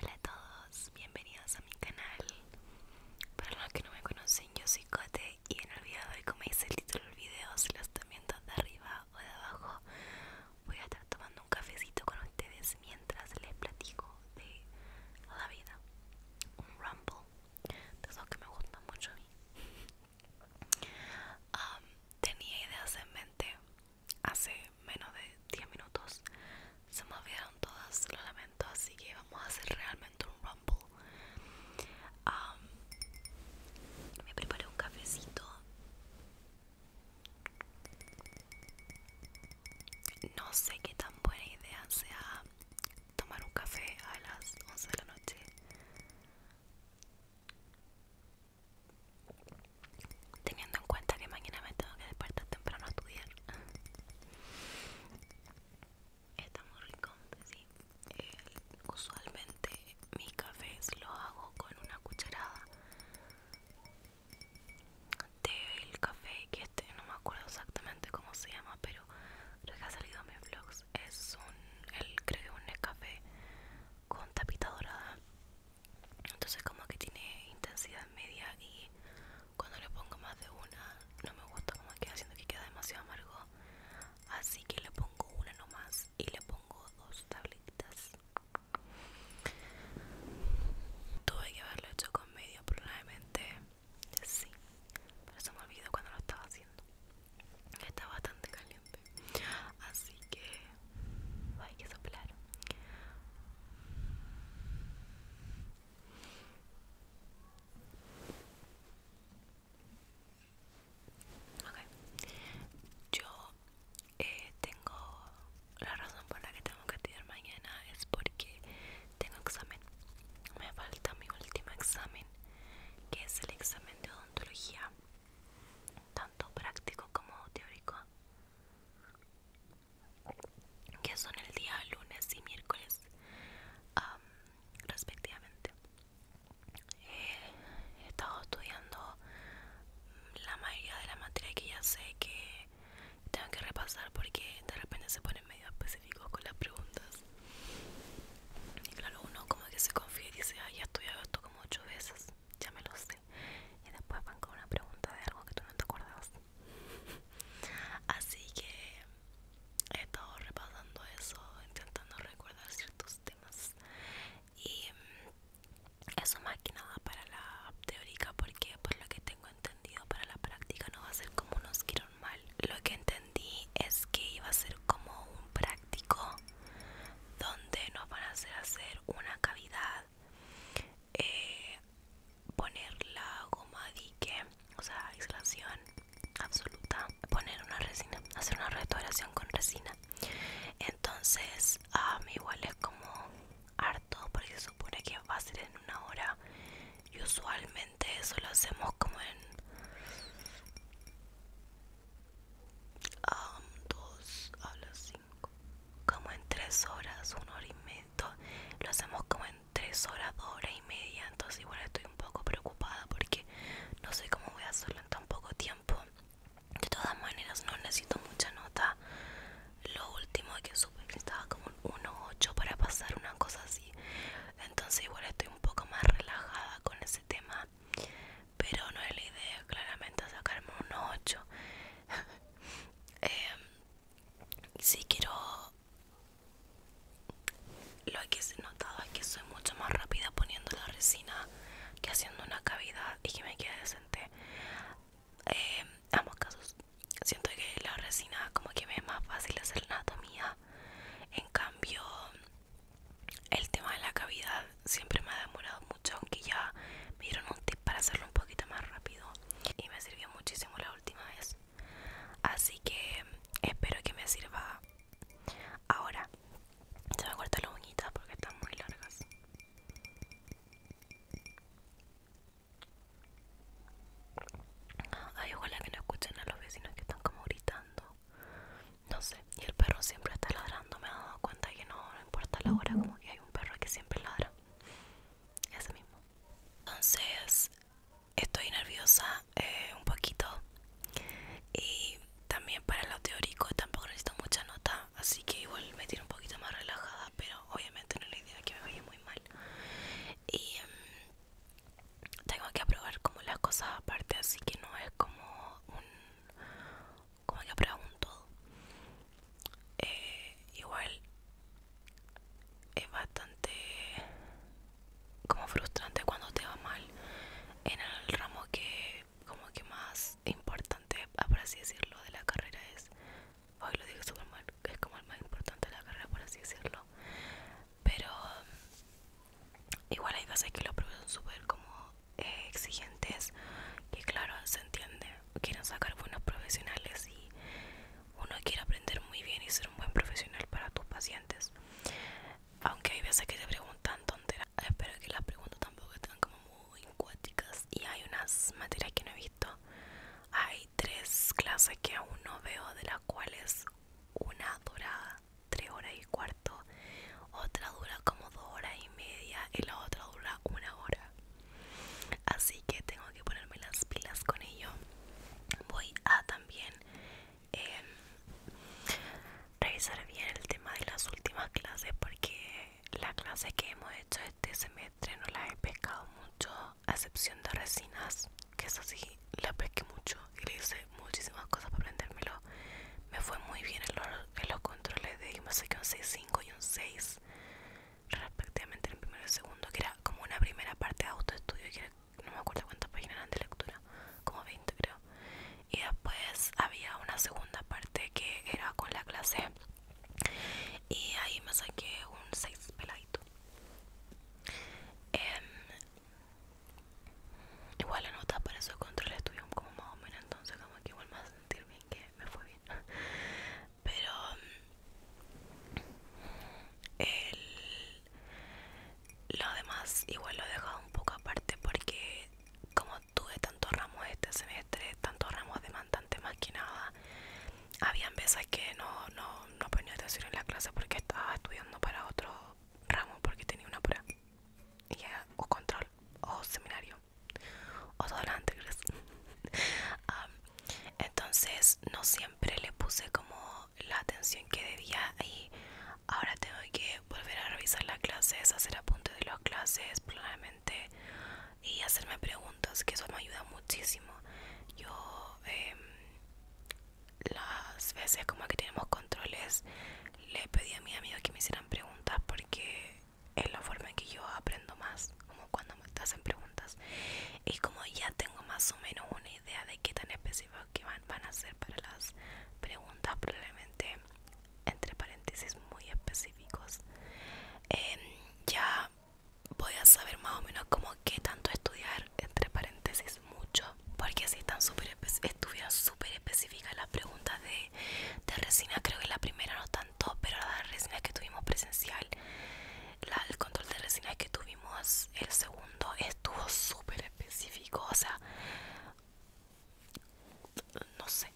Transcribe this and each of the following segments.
Hola a todos, bienvenidos a mi canal. Para los que no me conocen, yo soy Cote y en olvidado de hoy, como dice el título del video, si lo están viendo de arriba o de abajo, voy a estar tomando un cafecito con ustedes mientras les platico de la vida. Un rumble, de esos que me gusta mucho a mí. tenía ideas en mente hace menos de 10 minutos se me olvidaron todas, lo lamento, así que vamos a hacer realmente un rumble. me preparé un cafecito. No sé qué tan buena idea sea tomar un café a las 11 de la noche teniendo en cuenta que mañana me tengo que despertar temprano a estudiar está muy rico sí eh, usualmente mis cafés lo hago con una cucharada el café que este no me acuerdo exactamente cómo se llama pero creo que ha salido en mis vlogs es un el creo un café con tapita dorada entonces como que tiene intensidad media y cuando le pongo más de una no me gusta como queda haciendo que queda demasiado amargo así que le pongo una nomás y le pongo dos tabletas tuve que haberlo hecho con medio probablemente sí pero se me olvidó cuando lo estaba haciendo está bastante caliente así que hay que soplar Okay. Yo eh, tengo la razón por la que tengo que tirar mañana es porque tengo examen. Me falta mi último examen, que es el examen de odontología, tanto práctico como teórico que son el día lunes y miércoles respectivamente eh, he estado estudiando la mayoría de la materia que ya sé que tengo que repasar porque de repente se ponen medio específicos con las preguntas y claro uno como que se confía y dice ya he estudiado esto como ocho veces ya me lo sé y después van con una pregunta de algo que tú no te acordabas. Así que he estado repasando eso, intentando recordar ciertos temas y mm, eso más que nada para la teórica porque por lo que tengo entendido para la práctica no va a ser como unos quieran mal. Lo que entendí es que iba a ser como un práctico donde nos van a hacer hacer una cavidad eh, poner la goma dique o sea aislación absoluta poner una resina hacer una restauración con resina entonces a mí igual es como harto porque se supone que va a ser en una hora y usualmente eso lo hacemos como en um, dos a las como en tres horas, una hora y media. Lo hacemos como en tres horas, dos horas y media. Entonces igual estoy un poco preocupada porque no sé cómo voy a hacerlo en tan poco tiempo. De todas maneras no necesito mucha nota. Lo último que supe que estaba como un 1.8 para pasar una cosa así. Entonces igual estoy un poco más relajada con ese tema. Pero no es la idea claramente sacarme un 8. eh, em, si quiero lo que he notado es que soy mucho más rápida poniendo la resina que haciendo una cavidad y que me quede decente en eh, ambos casos siento que la resina como que me es más fácil hacer la anatomía en cambio el tema de la cavidad siempre me ha demorado mucho aunque ya me dieron un este, para hacerlo un poquito más rápido y me sirvió muchísimo la última vez así que espero que me sirva ahora Ya me corto las uñitas porque están muy largas ay ojalá que no escuchen a los vecinos que están como gritando no sé y el perro siempre está ladrando me he dado cuenta que no, no importa la hora como que hay un perro que siempre ladra mismo. Entonces, estoy nerviosa eh, un poquito. Y también para lo teórico tampoco necesito mucha nota. Así que igual me tiro un poquito más relajada. Pero obviamente no es la idea que me vaya muy mal. Y mm, tengo que aprobar como las cosas aparte. Así que no es como un... Como que aprobar un todo. Eh, igual es bastante como frustrante cuando te va mal en el ramo que como que más importante por así decirlo de la carrera es hoy lo dije súper mal que es como el más importante de la carrera por así decirlo pero igual hay veces que los profesores son súper como eh, exigentes que claro se entiende quieren sacar buenos profesionales y uno quiere aprender muy bien y ser un buen profesional para tus pacientes. Aunque hay veces que te preguntan tonteras, espero que las preguntas tampoco están como muy cuáticas. Y hay unas materias que no he visto. Hay tres clases que aún no veo, de las cuales una dura tres horas y cuarto, otra dura como dos horas y media y la otra dura una hora así que tengo que ponerme las pilas con ello voy a también em, revisar bien el tema de las últimas clases porque la clase que hemos hecho este semestre no la he pescado mucho a excepción de resinas que eso sí la pesqué mucho y le hice muchísimas cosas para aprendérmelo me fue muy bien en los, los controles de me saqué un 6.5 y un 6 respectivamente el primero y el segundo, que era como una primera parte de autoestudio, que no me acuerdo cuántas páginas eran de lectura, como 20 creo. Y después había una segunda parte que era con la clase. Y ahí me saqué un 6 peladito. Em, igual la nota para esos control estuvieron como más o menos, entonces como que igual a sentir bien que me fue bien pero mm, el, lo demás igual lo he dejado un poco aparte porque como tuve tantos ramos este semestre, tantos ramos demandantes más que nada, había veces que no, no, atención en la clase porque estaba estudiando para otro ramo porque tenía una prueba y o control o seminario o todo lo anterior entonces no siempre le puse como la atención que debía y ahora tengo que volver a revisar las clases hacer apuntes de las clases probablemente y hacerme preguntas que eso me ayuda muchísimo yo em, las veces como que tenemos controles le pedí a mis amigos que me hicieran preguntas porque es la forma en que yo aprendo más como cuando me preguntas y como ya tengo más o menos una idea de qué tan específicos que van, van a ser para las preguntas probablemente entre paréntesis muy específicos em, ya voy a saber más o menos como qué tanto estudiar entre paréntesis mucho porque si están súper estuvieron súper específicas las preguntas de, de resina creo que la primera no tanto pero las resina que tuvimos presencial el control de resina que tuvimos el segundo estuvo súper específico o sea no sé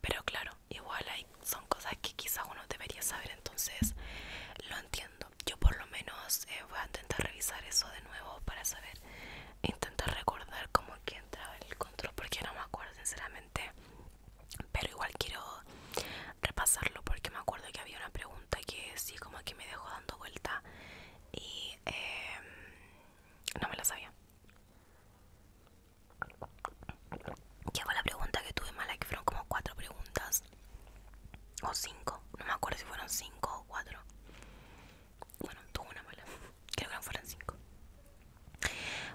pero claro igual hay son cosas que quizás uno debería saber entonces lo entiendo yo por lo menos eh, voy a intentar revisar eso de nuevo para saber intentar recordar cómo que entraba el control porque no me acuerdo sinceramente pero igual quiero repasarlo porque me acuerdo que había una pregunta que sí como que me dejó dando vuelta y em, no me la sabía que fue la pregunta que tuve mala que fueron como cuatro preguntas o cinco no me acuerdo si fueron cinco o cuatro bueno tuve una mala creo que no fueron cinco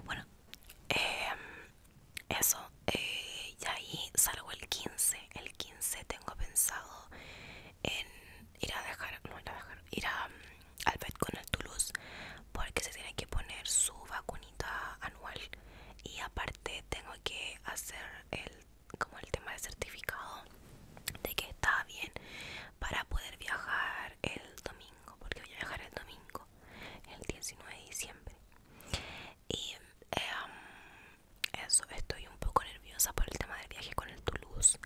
bueno em, eso eh, y ahí salgo el 15 el 15 tengo pensado en ir a dejar no ir a dejar ir a, mm, al vet con el Toulouse porque se tiene que poner su vacunita anual y aparte tengo que hacer el como el tema de certificado de que está bien para poder viajar el domingo porque voy a viajar el domingo el 19 de diciembre y em, eso estoy un poco nerviosa por el tema del viaje con el Toulouse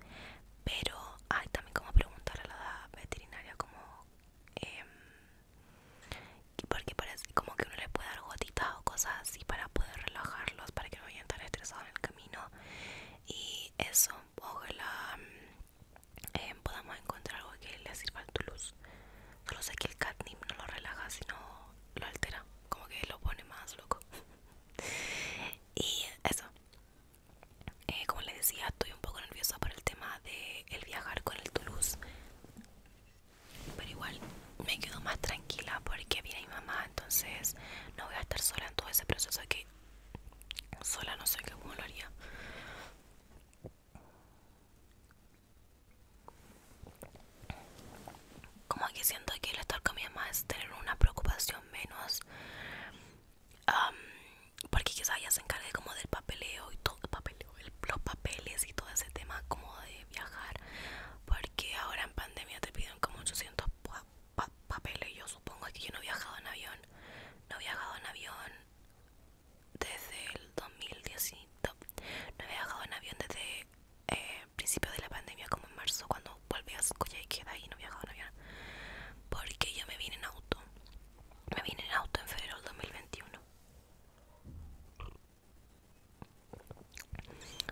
pero hay también como preguntar a la veterinaria como eh, porque parece como que uno le puede dar gotitas o cosas así para poder relajarlos para que no vayan tan estresados en el camino y eso ojalá la em, podamos encontrar algo que le sirva al Toulouse solo sé que el catnip no lo relaja sino lo altera, como que lo pone más loco. y eso. Eh, como les decía, estoy un poco nerviosa por el tema de el viajar con el Toulouse. Pero igual me quedo más tranquila porque viene mi mamá, entonces no voy a estar sola en todo ese proceso que sola no sé cómo lo haría. Como que siento que el estar con mi tener una preocupación menos. porque quizás ella se encargue como del papeleo y todo el papeleo, los papeles y todo ese tema como de viajar. Porque ahora en pandemia te piden como 800 papeles. Yo supongo que yo no he viajado en avión. No he viajado en avión desde el 2010. No he viajado en avión desde eh, principio de la pandemia, como en marzo, cuando volví a izquierda y no viajaba porque yo me vine en auto. Me vine en auto en febrero del 2021.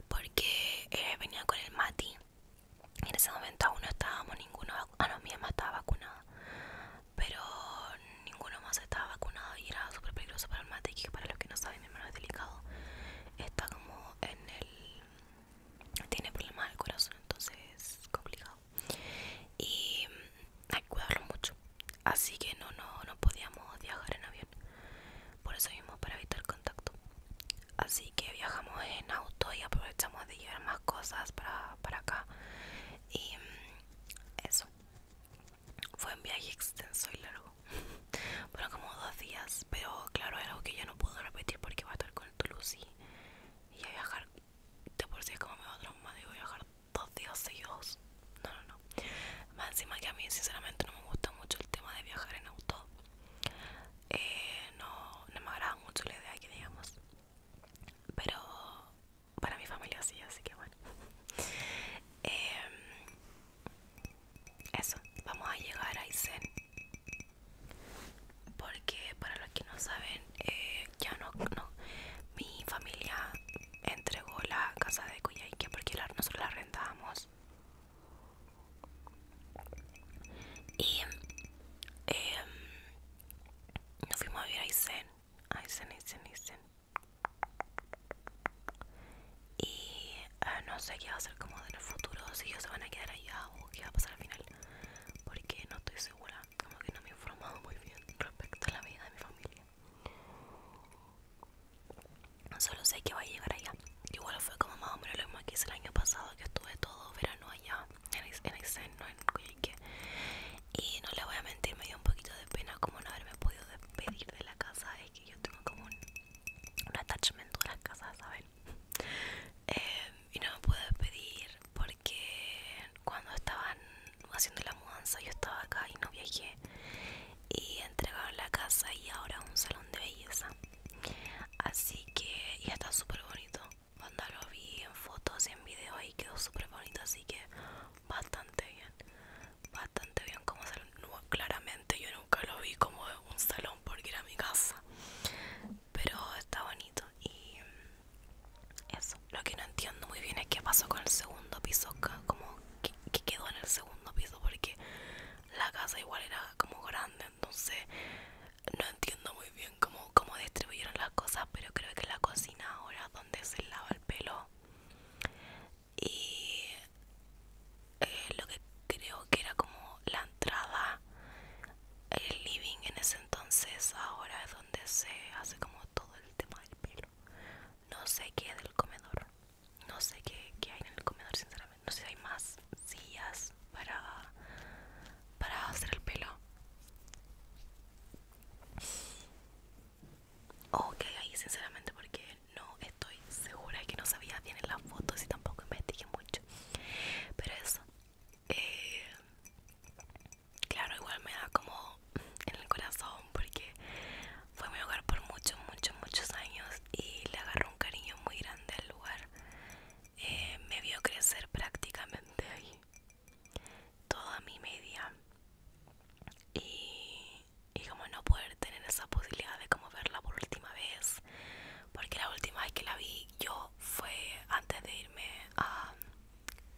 Porque eh, venía con el Mati. En ese momento aún no estábamos ninguno a ah, no, mi mamá estaba vacunada. Pero ninguno más estaba vacunado y era súper peligroso para el Mati. Que para los que no saben, es delicado está como en el tiene problemas del corazón entonces es complicado y mm, hay que cuidarlo mucho así que no no no podíamos viajar en avión por eso mismo para evitar contacto así que viajamos en auto y aprovechamos de llevar más cosas para, para acá y mm, eso fue un viaje extenso y largo. Fueron como dos días, pero claro, es algo que ya no puedo repetir porque voy a estar con Toulouse y, a viajar. De por sí es como me va a traumar, digo, viajar dos días seguidos. No, no, no. Más encima que a mí, sinceramente, no me gusta mucho el tema de viajar en auto. Eh, no, me agrada mucho la idea que digamos. Pero para mi familia sí, así que bueno. Eh, eso, vamos a llegar a Aysén. Porque para los que no saben, eh, ya no, mi familia entregó la casa de Cuyaique porque nosotros la rentábamos Y em, nos fuimos a vivir a Aysén. Aysén, y ah, no sé qué va a ser como el futuro, si ellos se van a quedar allá o qué va a pasar al final, porque no estoy segura, como que no me he informado muy bien respecto a la vida de mi familia. Solo sé que va a llegar allá. Igual fue como más o menos lo mismo que hice el año pasado, que estuve todo verano allá, en el no en Coyhaique. Y no le voy a mentir, me dio un poquito de pena como no haberme podido despedir de la casa que yo tengo como un, attachment a las casas, ¿saben? Em, y no me puedo despedir porque cuando estaban haciendo la mudanza yo estaba acá y no viajé y entregaron la casa y ahora un salón de belleza así que ya está súper bonito cuando lo vi en fotos y en videos y quedó súper bonito así que bastante bien bastante bien como salón. claramente yo nunca lo vi como un salón porque era mi casa. Pero está bonito. Y mm, eso. Lo que no entiendo muy bien es qué pasó con el segundo piso. Como que, quedó en el segundo piso porque la casa igual era como grande. Entonces no entiendo muy bien cómo, cómo distribuyeron las cosas. Pero creo que la cocina ahora donde se lava el pelo y eh, lo que creo que era como la entrada el living en ese entonces ahora es donde se hace como todo el tema del pelo no sé qué del comedor no sé qué, hay en el comedor sinceramente no sé si hay más sillas para para hacer el pelo o que hay ahí sinceramente porque no estoy segura de que no sabía bien en las fotos y tampoco investigué mucho pero eso eh, claro igual me da como en el corazón porque fue mi hogar por muchos muchos muchos años y le agarró un cariño muy grande al lugar eh, me vio crecer prácticamente ahí toda mi media y y como no poder tener esa posibilidad de como verla por última vez porque la última vez que la vi yo fue antes de irme a,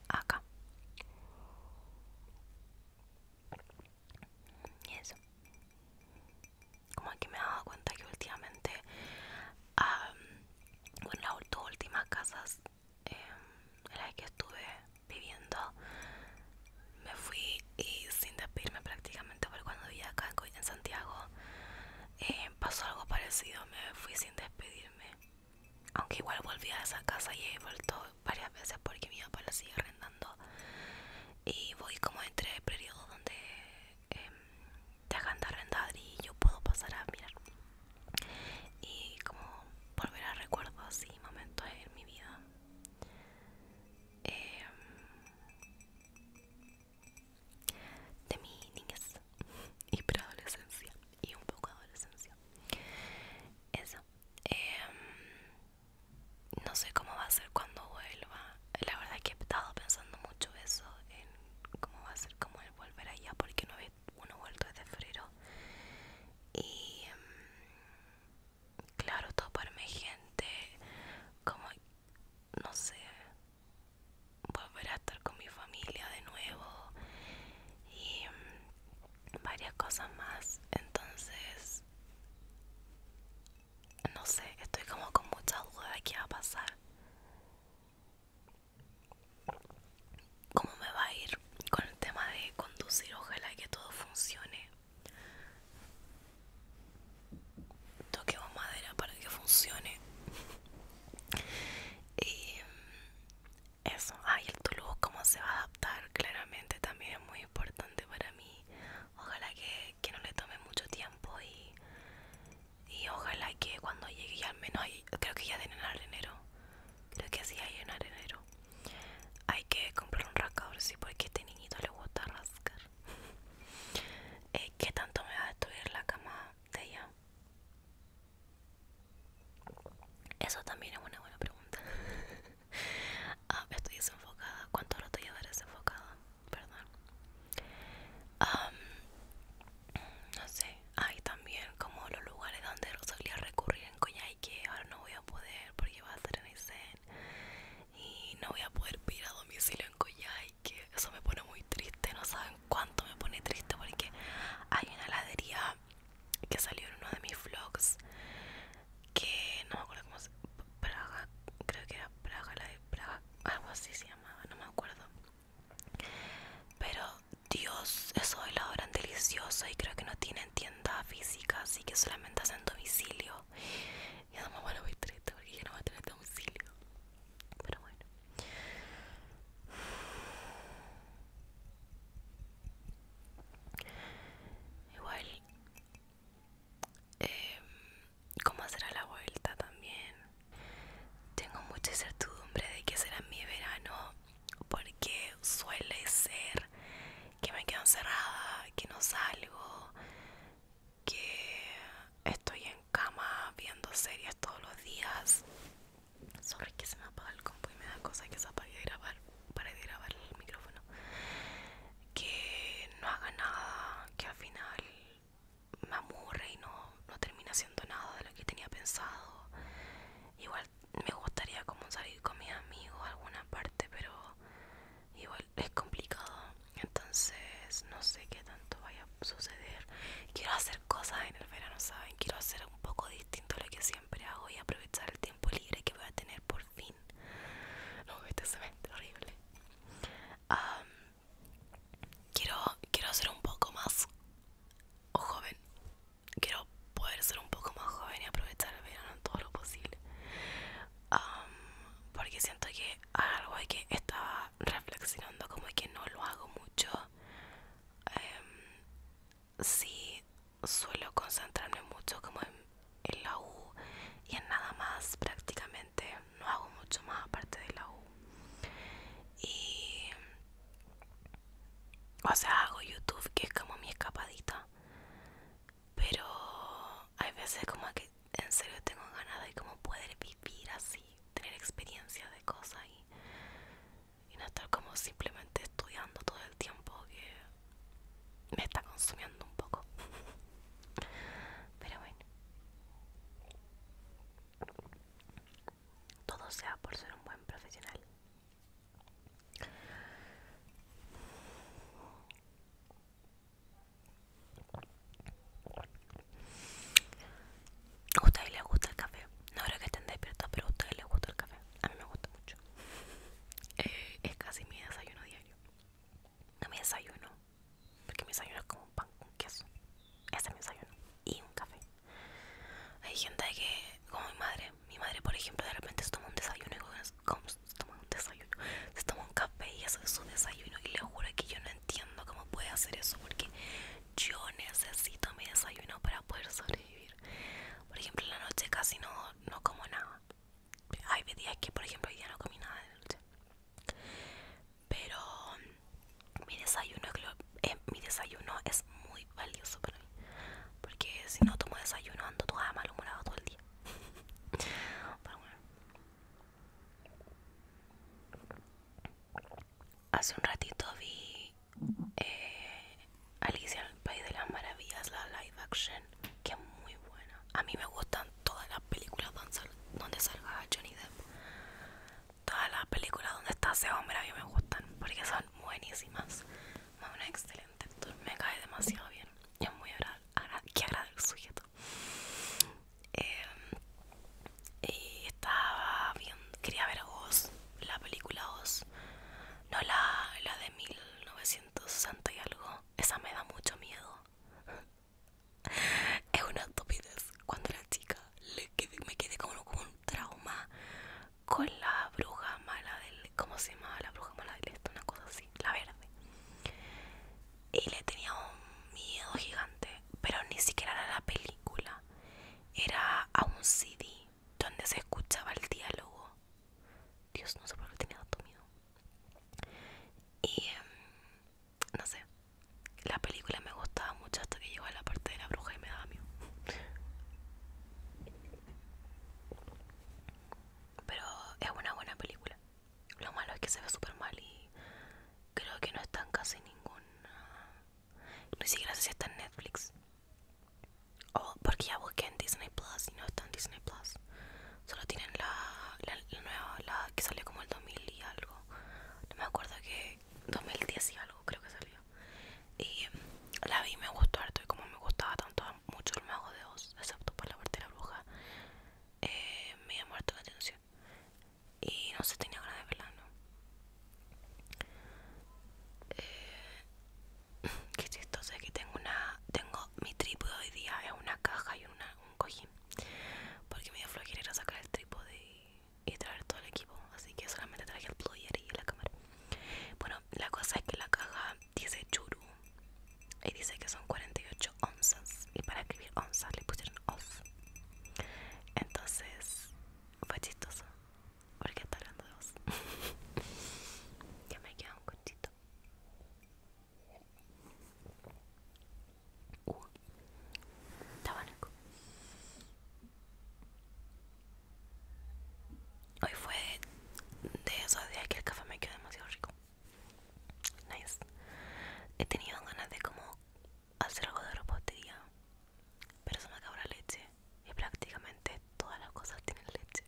acá y eso como que me he dado cuenta que últimamente bueno las dos últimas casas em, en las que estuve viviendo me fui y sin despedirme prácticamente, porque cuando vi acá en Santiago eh, pasó algo parecido, me fui sin despedirme. Aunque igual volví a esa casa y he vuelto varias veces porque mi papá lo sigue arrendando. Y voy como entre periodos donde eh, dejan de arrendar y yo puedo pasar a mirar. Y como volver a recuerdos y momentos en mi vida. Em, de mi niñez y preadolescencia y un poco adolescencia. Eso. Em, no sé cómo va a ser cuando vuelva. La verdad que he estado pensando mucho eso, en cómo va a ser como el volver allá, porque no ve uno vuelto desde febrero. Y em, claro, todo para mi gente, como, no sé, volver a estar con mi familia de nuevo y mm, varias cosas más. Entonces, no sé, estoy como con mucha duda de qué va a pasar. ¿Cómo me va a ir con el tema de conducir? Ojalá que todo funcione. Toquemos madera para que funcione. Y mm, eso, ay, el tulubo cómo se va a adaptar, claramente también es muy importante para mí. Ojalá que, no le tome mucho tiempo y, y ojalá que cuando llegue, al menos, hay, creo que ya tienen arenero. Creo que sí hay un arenero. Hay que comprar un rascador, sí, porque a este niñito le gusta rascar. Eh, ¿Qué tanto me va a destruir la cama de ella? Eso también es una buena pregunta. ah, estoy desenfocada. ¿Cuánto rato estoy desenfocada? Perdón. no sé. Hay también como los lugares donde solía recurrir en que Ahora no voy a poder porque va a ser en Isen y no voy a poder pedir a domicilio en y que eso me pone muy triste no saben cuánto me pone triste porque hay una heladería que salió en uno de mis vlogs que no me acuerdo cómo se Praga creo que era Praga la de Praga algo así se llamaba no me acuerdo pero Dios esos helados eran deliciosos y creo que no tienen tienda física así que solamente hacen domicilio y además la mamá lo voy a porque ya no va a tener domicilio este pero bueno igual em, cómo será la vuelta también tengo mucha incertidumbre de que será mi verano porque suele ser que me quedo encerrada que no salgo que estoy en cama viendo series todos los días. sobre que se me apaga el compu y me da cosas que se apague de grabar, para de grabar el micrófono. Que no haga nada, que al final me amurre y no, no termina haciendo nada de lo que tenía pensado. Igual me gustaría como salir con mis amigos a alguna parte, pero igual es complicado entonces no sé qué tanto vaya a suceder quiero hacer cosas en el verano saben quiero hacer un poco distinto a lo que siempre hago y aprovechar el tiempo libre que voy a tener por fin no este semestre horrible quiero quiero ser un poco más joven quiero poder ser un poco más joven y aprovechar el verano en todo lo posible porque siento que algo hay que estaba reflexionando como que no lo hago mucho si em, sí suelo concentrarme mucho como en la U y en nada más prácticamente no hago mucho más aparte de la U y o sea hago YouTube que es como mi escapadita pero hay veces como que en serio tengo ganas de como poder vivir así, tener experiencia de cosas y, y no estar como simplemente estudiando todo el tiempo que me está consumiendo un poco. Pero bueno, todo sea por ser un buen profesional. ¿A ustedes le gusta el café? No creo que estén despiertos, pero a ustedes les gusta el café. A mí me gusta mucho. Eh, es casi mi desayuno diario. No mi desayuno, porque mi desayuno es como un pan con queso. Ese es mi desayuno. Y un café. Hay gente que, como mi madre, mi madre por ejemplo de repente toma un desayuno y goza se toma un desayuno, se un café y eso es su desayuno y le juro que yo no entiendo cómo puede hacer eso porque yo necesito mi desayuno para poder sobrevivir. Por ejemplo, en la noche casi no, no como nada. Hay días que, por ejemplo, hoy día no comí nada de noche. Pero mm, mi desayuno, eh, mi desayuno es muy valioso para mí. Porque si no tomo desayuno ando toda malhumorada todo el día. bueno, Hace un ratito vi eh, Alicia en el País de las Maravillas, la live action, que es muy buena. A mí me gustan todas las películas donde salga Johnny Depp. Todas las películas donde está ese hombre a mí me gustan porque son buenísimas. Es un excelente me cae demasiado bien es muy agradable, que agrada el sujeto em, y estaba bien quería ver Oz la película Oz no la, la de 1960 y algo esa me da mucho miedo es una estupidez cuando la chica le me quedé como, un trauma con la bruja mala del ¿cómo se llamaba la bruja mala del esto una cosa así la verde y le tenía un miedo gigante, pero ni siquiera era la película, era a un CD donde se escuchaba el diálogo. Dios, no sé por qué tenía tanto miedo. Y em, no sé, la película me gustaba mucho hasta que llegó a la parte de la bruja y me daba miedo. Pero es una buena película. Lo malo es que se ve súper mal y creo que no está en casi ninguna. Ah, ni siquiera sé si está en Netflix. O porque ya busqué en Disney Plus y no está en Disney Plus. Solo tienen la, la, nueva, la que salió como el 2000 y algo. No me acuerdo que 2010 y algo creo que salió. Y la vi y me gustó harto y como me gustaba tanto mucho el mago de Oz, excepto por la parte de la bruja, eh, me había muerto de atención y no se tenía ganas de verla, eh, qué chistoso es que tengo una, tengo mi trípode hoy día es una caja y un cojín porque me dio flojera sacar el trípode y, traer todo el equipo, así que solamente traje el player y la cámara. Bueno, la cosa es que la caja dice churu y dice que son 48 onzas y para escribir onzas le pusieron os entonces fue chistoso porque está hablando de os ya me queda un cortito uh, Hoy fue de esos días que el café me quedó demasiado rico. Nice. He tenido ganas de como hacer algo de repostería, pero se me acabó la leche y prácticamente todas las cosas tienen leche.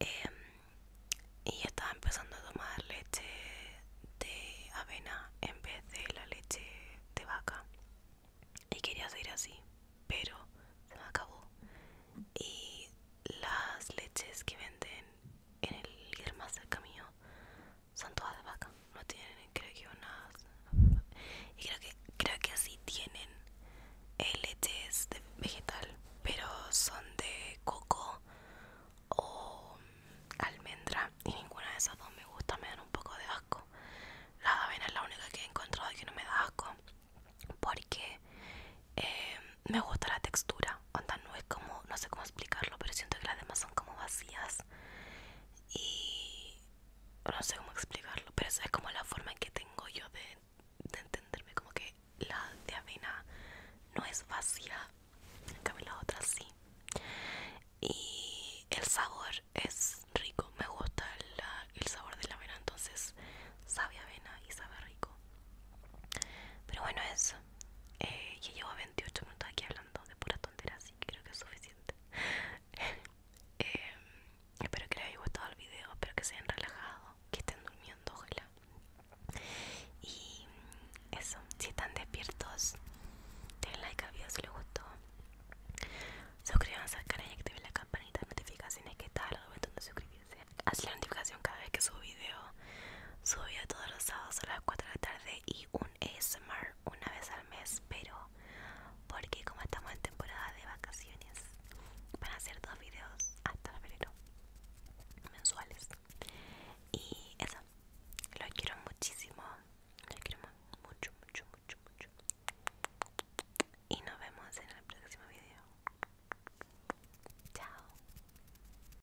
Em, y yo estaba empezando a tomar leche de avena en vez de la leche de vaca y quería seguir así, pero se me acabó. Y las leches que venden en el más cerca mío son todas de vaca no tienen creo que unas y creo que creo que sí tienen leches de vegetal pero son de coco o mm, almendra y ninguna de esas dos me gusta me dan un poco de asco la avena es la única que he encontrado que no me da asco porque em, me gusta la textura onda no es como no sé cómo explicarlo pero siento que las demás son como vacías y no sé cómo explicarlo pero esa es como la forma en que tengo yo de, entenderme como que la de avena no es vacía en la otra sí y el sabor es rico me gusta el sabor de la avena entonces sabe avena y sabe rico pero bueno eso eh, ya llevo 28 minutos aquí hablando de pura tontera, así que creo que es suficiente. Eh, espero que les haya gustado el video, espero que se hayan relajado, que estén durmiendo, ojalá. Y eso, si están despiertos, den like a video si les gustó. Suscríbanse al canal y activen la campanita de notificaciones que está al de suscribirse. Así la notificación cada vez que subo video Subió todos los sábados a las 4 de la tarde y un ASMR una vez al mes, pero porque como estamos en temporada de vacaciones, van a hacer dos videos hasta febrero mensuales. Y eso, los quiero muchísimo, los quiero mucho, mucho, mucho, mucho. Y nos vemos en el próximo video. Chao.